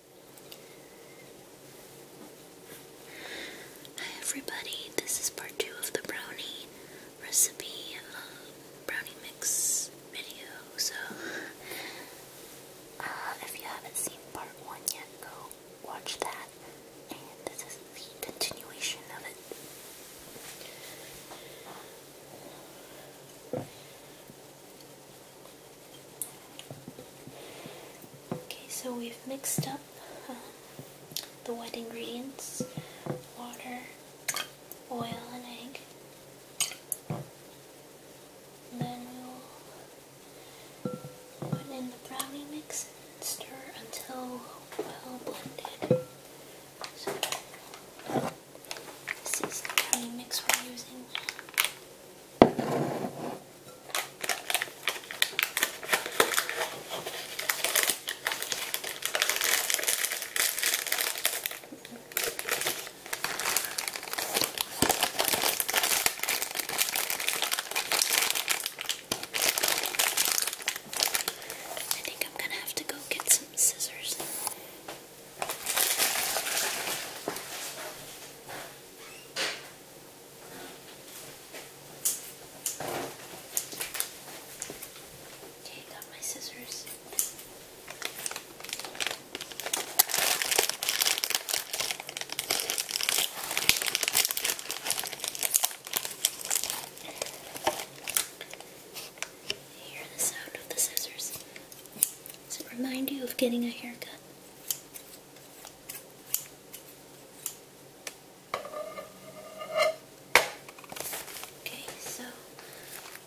Hi everybody, this is part two of the brownie recipe, um, brownie mix video. So, uh, if you haven't seen part one yet, go watch that. And this is the continuation of it. Okay, so we've mixed up um, the wet ingredients water, oil, and egg. then we'll put in the brownie mix and stir until well blended. This is the curry mix we're using. I think I'm gonna have to go get some scissors Okay, I got my scissors. You hear the sound of the scissors does it remind you of getting a haircut? Okay, so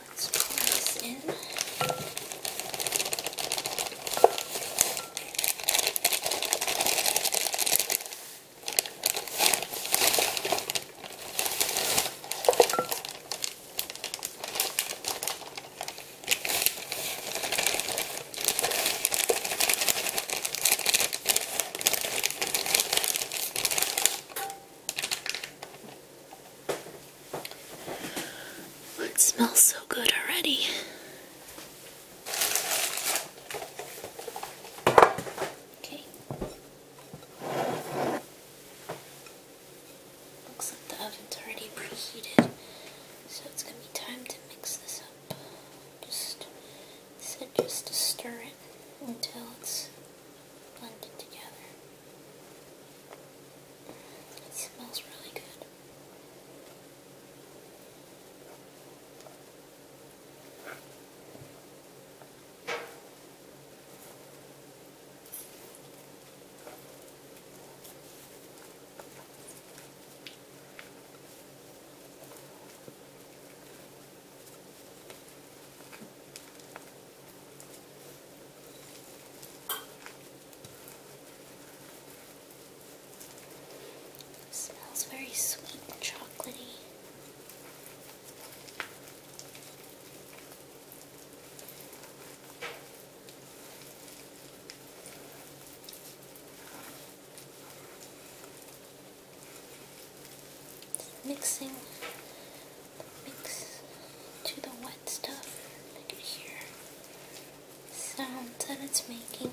let's pour this in. Well, oh, it smells so good already. Okay. Looks like the oven's already preheated, so it's going to be time to mix this up. Just said just to stir it until it's blended together. It smells really good. It smells very sweet and chocolatey mixing mix to the wet stuff. I can hear sounds that it's making.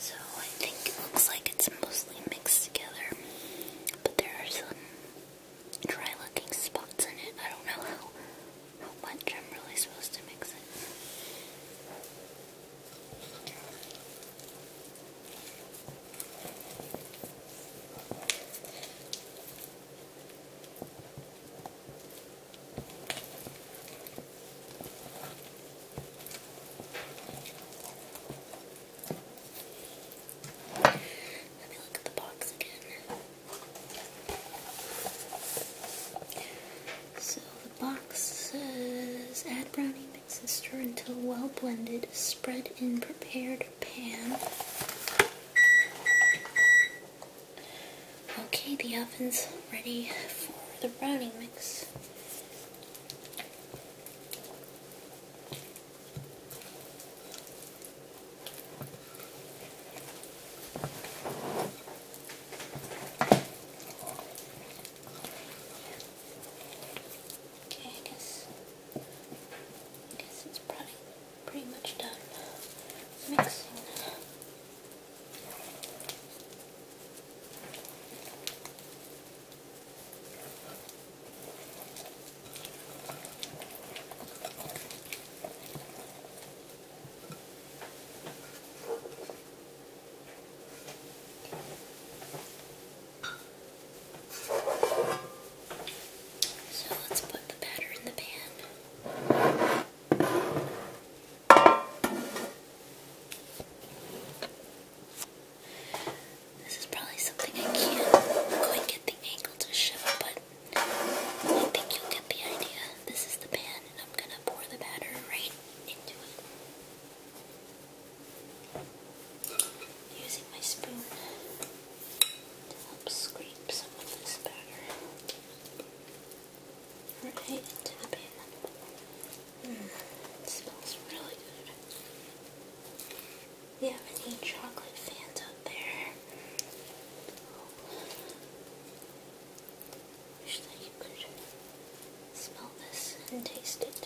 So I think it looks like it's mostly mixed together, but there are some dry looking spots in it. I don't know how, much I'm really supposed to mix it. Let me look at the box again. So the box says add brownie mix and stir until well blended. Spread in prepared pan. Okay, the oven's ready for the brownie mix. Okay, I guess I guess it's probably pretty much done mixing. So let's put the batter in the pan. This is probably something I can't quite get the angle to shift, but I think you'll get the idea. This is the pan, and I'm gonna pour the batter right into it. Using my spoon to help scrape some of this batter right into the pan. Mm, smells really good. We have any chocolate fans out there? Wish that you could smell this and taste it.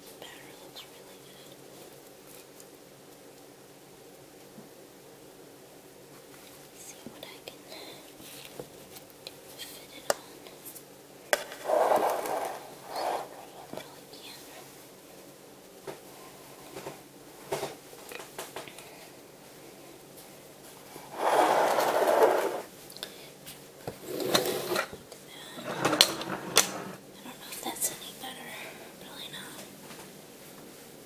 This batter looks really good see what I can do to fit it on. But all I can. Like that. I don't know if that's any better. Probably not.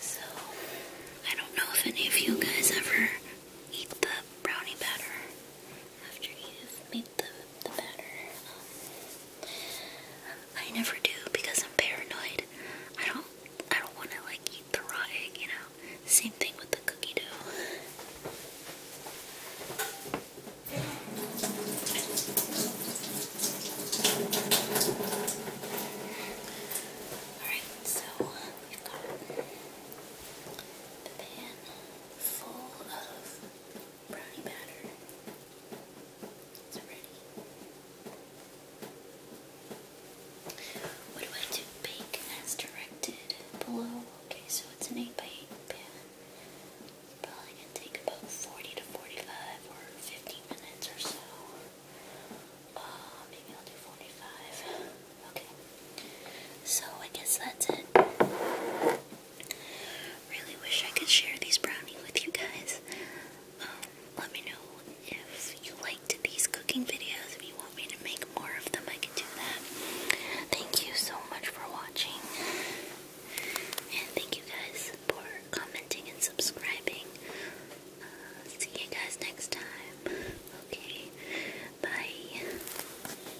So, I don't know if any of you guys ever eat the brownie batter after you've made the, the better. Um, I never do because I'm paranoid. I don't I don't want to like eat the raw egg, you know. Same thing with the cookie dough. Alright, so we've got the pan full of brownie batter is ready. What do I do? Bake as directed below. Okay, so it's an 8 by 8 pan. probably going to take about 40 to 45 or 50 minutes or so. Uh, maybe I'll do 45. Okay. So I guess that's it. Really wish I could share these brownies with you guys. Um, let me know if you liked these cooking videos. If you want me to make more of them, I can do that. Thank you so much for watching. And thank you guys for commenting and subscribing. Uh, see you guys next time. Okay, bye.